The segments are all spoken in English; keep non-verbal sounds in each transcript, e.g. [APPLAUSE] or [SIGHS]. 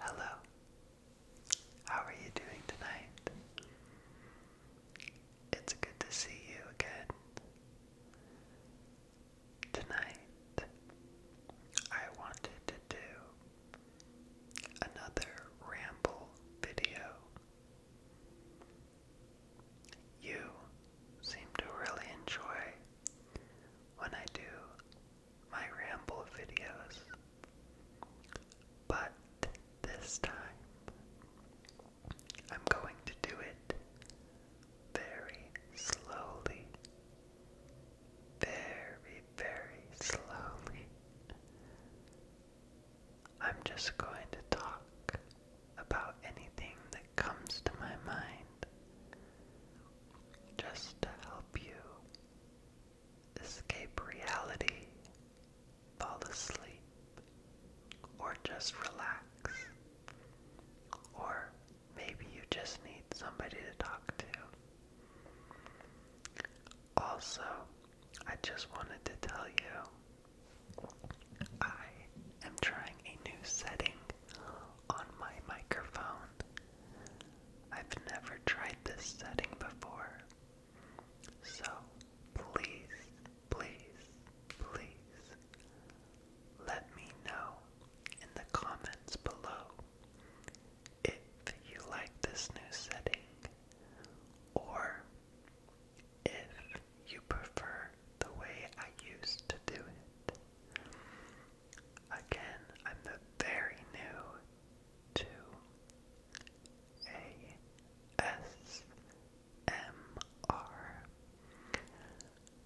Hello. How are you doing tonight? It's good to see you again. Tonight, I wanted to do another ramble video. You seem to really enjoy when I do my ramble videos. But this time, I'm going to do it very slowly. Very, very slowly. I'm just going to talk about anything that comes to my mind just to help you escape reality, fall asleep, or just relax. Or maybe you just need somebody to talk to. Also, I just wanted to tell you I am trying a new setting on my microphone. I've never tried this setting before. So please, please, please let me know in the comments below if you like this new setting or if you prefer the way I used to do it. Again, I'm the very new to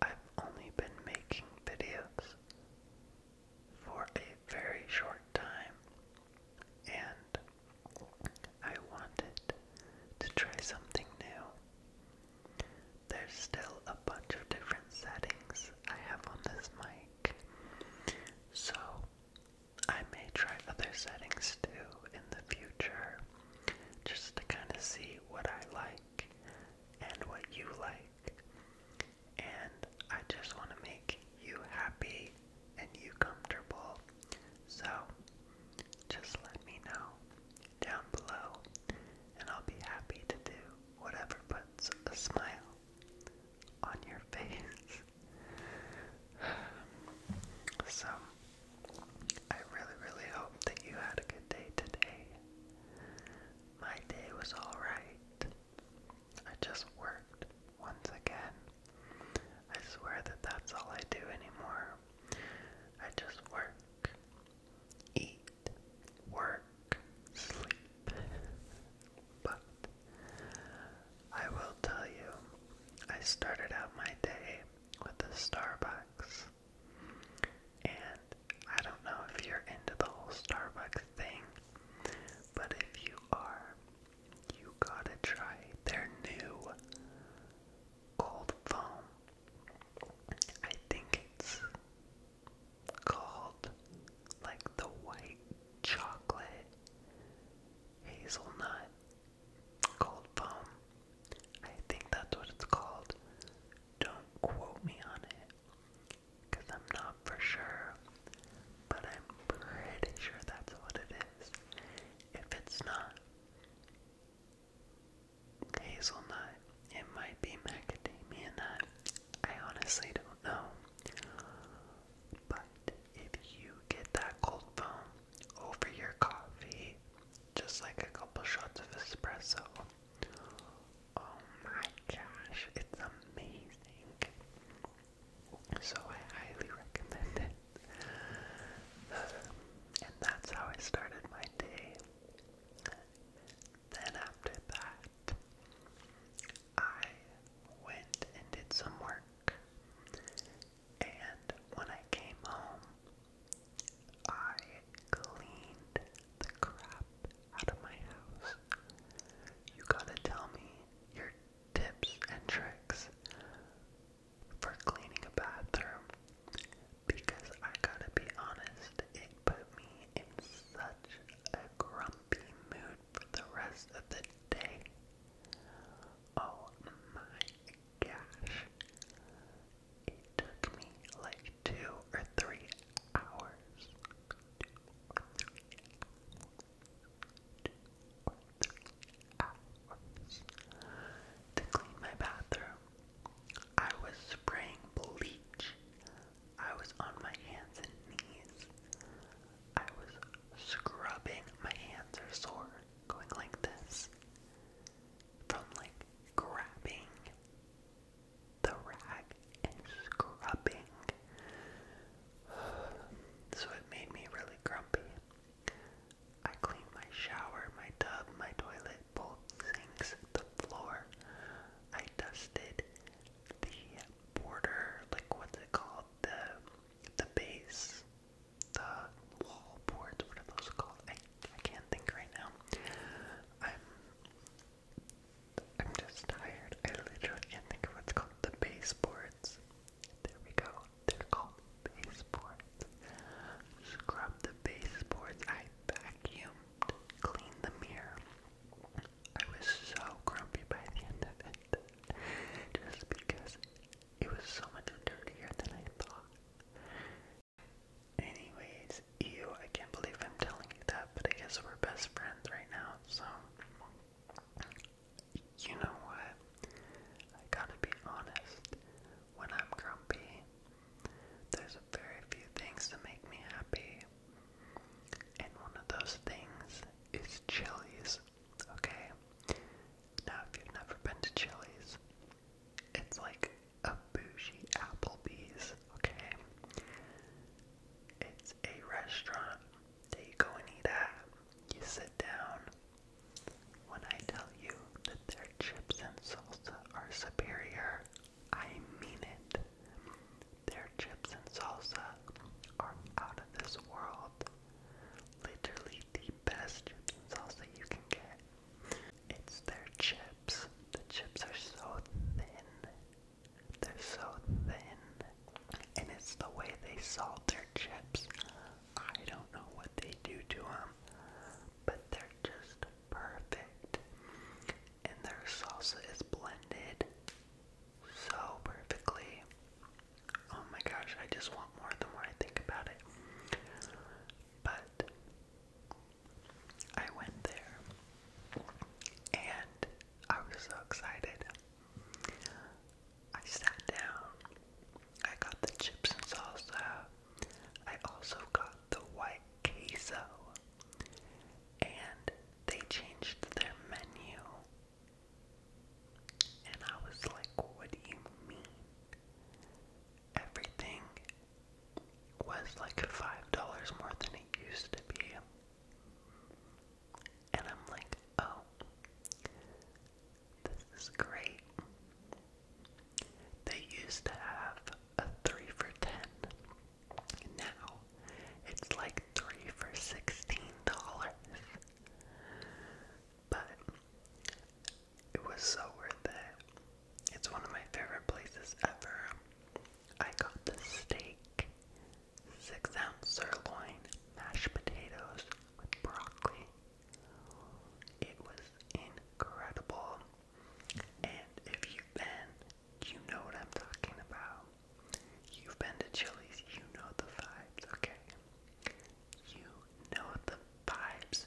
have only been making videos for a very short time and I wanted to try something new. There's still a bunch of different settings I have on this mic, so I may try other settings too in the future just to kind of see what I like and what you like. And I just want to make you happy and you comfortable. So just let me know down below, and I'll be happy to do whatever puts a smile on your [LAUGHS] face. so, I really, really hope that you had a good day today. My day was alright. I just worked once again. I swear that that's all I do anymore. I just work, eat, work, sleep. but I will tell you, I started out my day with a Starbucks. And I don't know if you're into the whole Starbucks thing, but if you are, you gotta try their new cold foam. I think it's called like the white chocolate hazelnut cold foam. I think that's what it's called. Don't quote me on it because I'm not for sure, but I'm pretty sure that's what it is. If it's not, hazelnut. It might be macadamia nut. I honestly don't know. But if you get that cold foam over your coffee, just like a couple shots of espresso, oh my gosh, it's amazing. So I highly recommend it. [LAUGHS] And that's how I started my day. Then after that, I went and did some work. And when I came home, I cleaned the crap out of my house. You gotta tell me your tips and tricks for cleaning a bathroom because I gotta be honest, it put me in such a grumpy mood for the rest of the day. Oh my gosh. It took me like two or three hours. to clean my bathroom. I was spraying bleach. I was on my hands and knees. I was scrubbing. My hands are sore, going like this. From like grabbing the rag and scrubbing. [SIGHS] So it made me really grumpy. I cleaned my shower, my tub, my toilet, both sinks, the floor. I dusted the border, like what's it called? The the base, the wall boards. What are those called? I I can't think right now. I'm I'm just tired. I literally can't think of what's called the baseboards. There we go. They're called baseboards. Scrub the baseboards. I vacuumed, cleaned the mirror. I was so grumpy by the end of it, just because it was so much dirtier than I thought. Anyways, ew, I can't believe I'm telling you that, but I guess we're best friends right now, so. You know what? I gotta be honest when I'm grumpy. There's very few things that make me happy. And one of those things is Chili's, okay? Now, if you've never been to Chili's, it's like a bougie Applebee's, okay? It's a restaurant that you go and eat at. You sit down, when I tell you that their chips and salsa are superior, I mean it. Their chips and salsa are out of this world. Literally the best chips and salsa you can get. It's their chips. The chips are so thin. They're so thin. And it's the way they salt their chips. I don't know what they do to them, but they're just perfect. And their salsa is blended so perfectly. Oh my gosh, I just want more the more I think about it. But I went there and I was so excited. I sat down I got the chips and salsa. I also got the white queso. And they changed their menu. And I was like, what do you mean? Everything was like $5 more than it used to be. And I'm like, oh, this is great. They used to have a 3 for 10. Now it's like 3 for $16. But it was so worth it. It's one of my favorite places ever. I got the steak, six ounce sirloin, mashed potatoes with broccoli, it was incredible. And if you've been, you know what I'm talking about. You've been to Chili's, you know the vibes, okay? You know the vibes,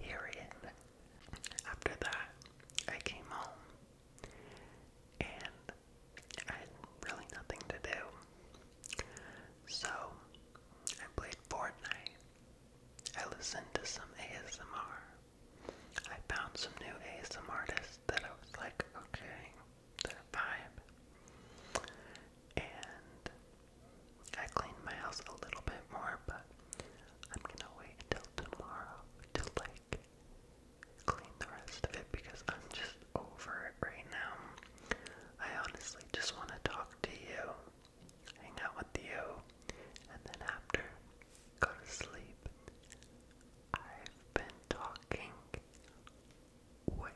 period. After that, I came home and I had really nothing to do. So I played Fortnite I listened to some ASMR. I found some new ASMR artists that I was like, okay, that vibe. And I cleaned my house a little bit more, but I'm gonna wait until tomorrow to like clean the rest of it because I'm just over it right now. I honestly just want to talk to you hang out with you, and then after, go to sleep. I've been talking way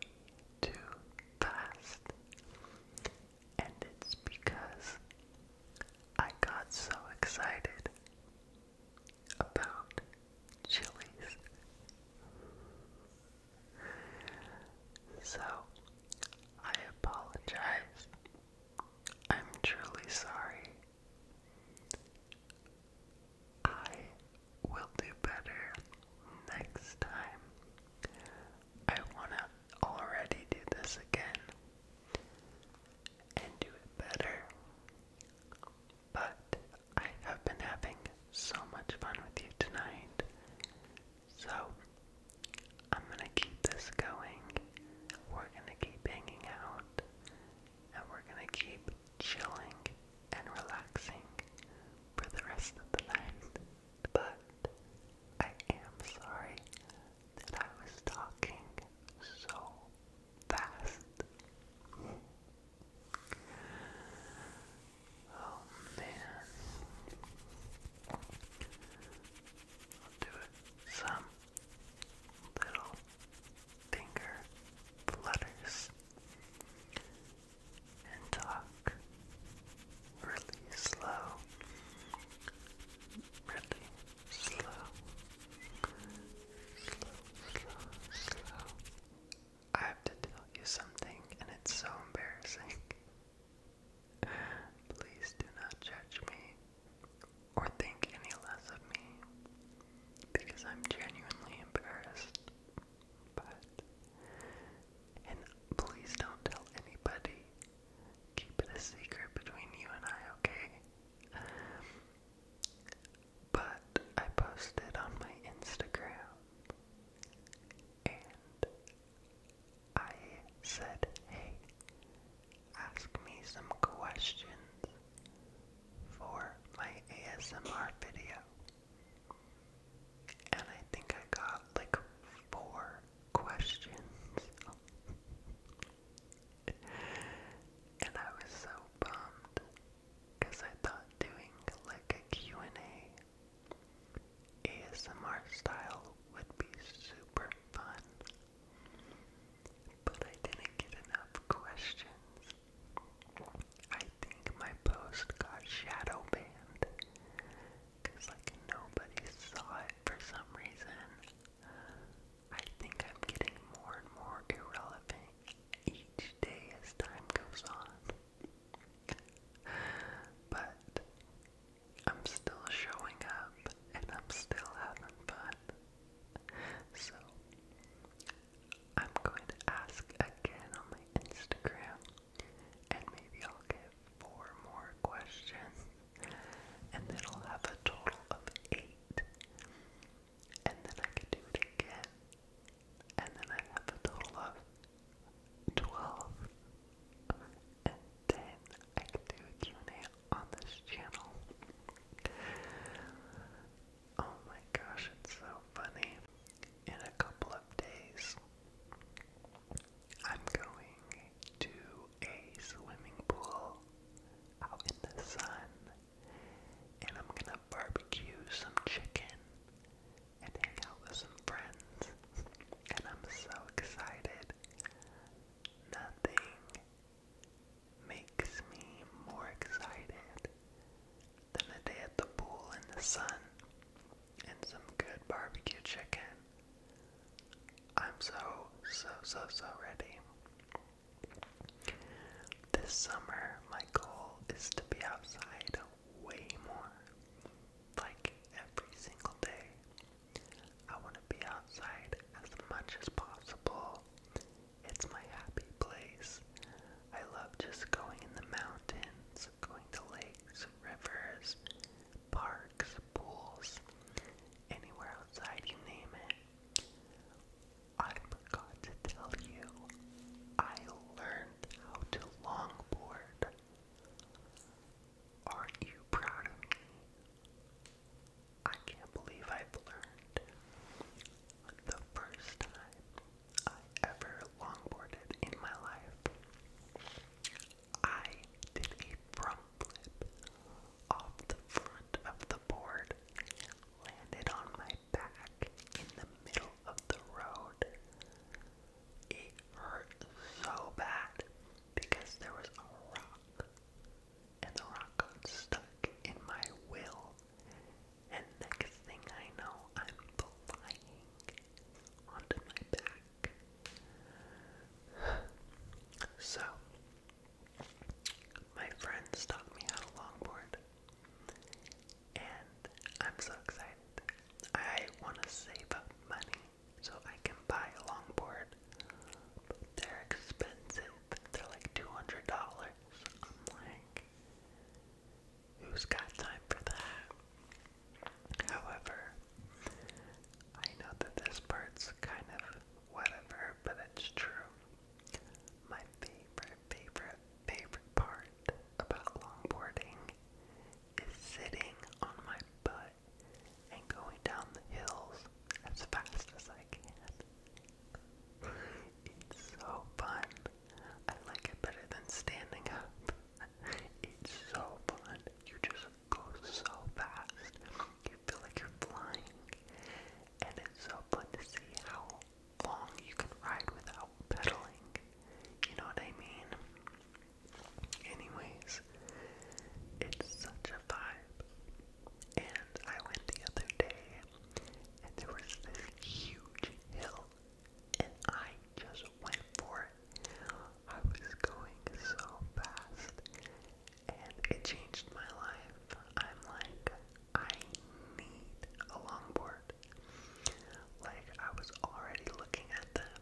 too fast, and it's because I got so excited about chilies. So, I apologize. I'm truly sorry. I will do better next time. I want to already do this again and do it better. But I have been having so much fun with you tonight, so, I'm gonna keep this going. We're gonna keep hanging out. And we're gonna keep chilling and relaxing for the rest of the night. But I am sorry that I was talking so fast. Oh man. do it. Some little finger flutters and talk really slow. Really slow. Slow, slow, slow. I have to tell you something and it's so embarrassing. Please do not judge me or think any less of me because I'm genuinely embarrassed. But, and please don't tell anybody. Keep it a secret between you and I, okay? But I posted on my Instagram and I said, hey, ask me some questions for my ASMR video. And I think I got like four questions. [LAUGHS] and I was so bummed because I thought doing like a and a ASMR style would be super fun. But I didn't get enough questions. I think my post got shadow banned. Cause like nobody saw it for some reason. I think I'm getting more and more irrelevant each day as time goes on. But I'm still showing up and I'm still having fun. So I'm going to ask again on my Instagram and maybe I'll get four more questions and then I'll have a total of eight. And then I could do it again and then I have a total of 12 and then I can do a Q&A on this channel. Oh my gosh, it's so funny. In a couple of days, I'm going to a swimming pool out in the sun and I'm gonna barbecue some chicken and hang out with some friends. And I'm so excited. Nothing makes me more excited than a day at the pool in the sun and some good barbecue chicken. I'm so, so, so, so ready. This summer, my goal is to be outside way more. Like every single day, I want to be outside as much as possible. It's my happy place. I love just going in the mountains, going to lakes, rivers, parks, pools, anywhere outside, you name it. I forgot to tell you, I learn learned how to longboard. Aren't you proud of me? I can't believe I've learned. The first time I ever longboarded in my life, I did a front flip off the front of the board, landed on my back in the middle of the road. It hurt so bad because there was a rock, and the rock got stuck in my wheel. And next thing I know, I'm flying onto my back. [SIGHS] So, my friends stopped me at a longboard and I'm so excited. I want to save up money so I can buy a longboard. But they're expensive. They're like $200. I'm like, who's got time for that? However, I know that this part's kind of whatever, but it's true. My favorite, favorite, favorite part about longboarding is sitting on my butt and going down the hills as fast as I can. It's so fun. I like it better than standing up. It's so fun. You just go so fast. You feel like you're flying. And it's so fun to see how long you can ride without pedaling. You know what I mean? Anyways, it's such a vibe. And I went the other day, and there was this huge hill, and I just went for it. I was going so fast, and it changed my life. I'm like, I need a longboard. Like, I was already looking at them,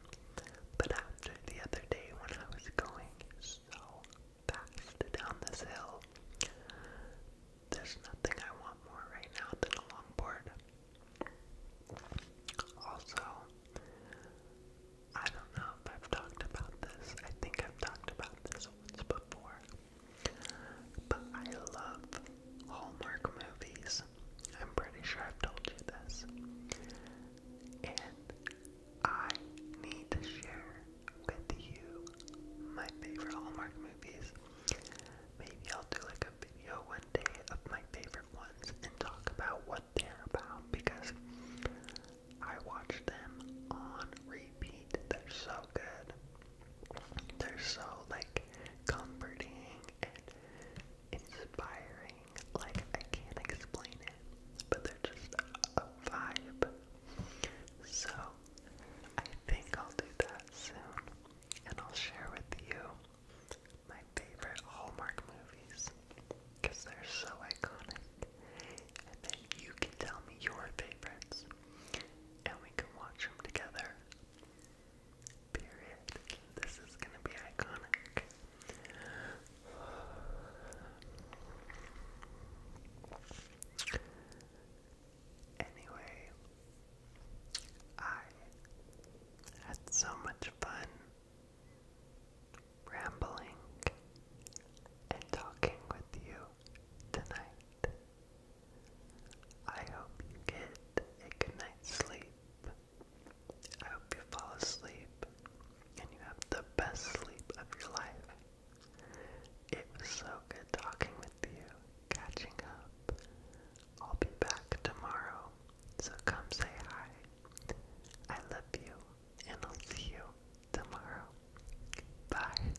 but after the other day when I was going so fast down this hill, there's nothing I want more right now than a longboard. Also, I don't know if I've talked about this. I think I've talked about this once before. But I love Hallmark movies. I'm pretty sure I've told you this. And I need to share with you my favorite Hallmark movies. Maybe I'll do like a video one day of my favorite ones and talk about what they're about because I watch them on repeat. They're so good. They're so like comforting and inspiring. Like I can't explain it, but they're just a, a vibe. So I think I'll do that soon, and I'll share with you my favorite Hallmark movies because they're so iconic, and then you can tell me your favorites, and we can watch them together Period. This is gonna be iconic. Anyway, I had so much fun rambling and talking with you tonight. I hope you get a good night's sleep. I hope you fall asleep and you have the best sleep of your life. It was so good talking with you, catching up. I'll be back tomorrow, so come say hi. I love you, and I'll see you tomorrow. Bye.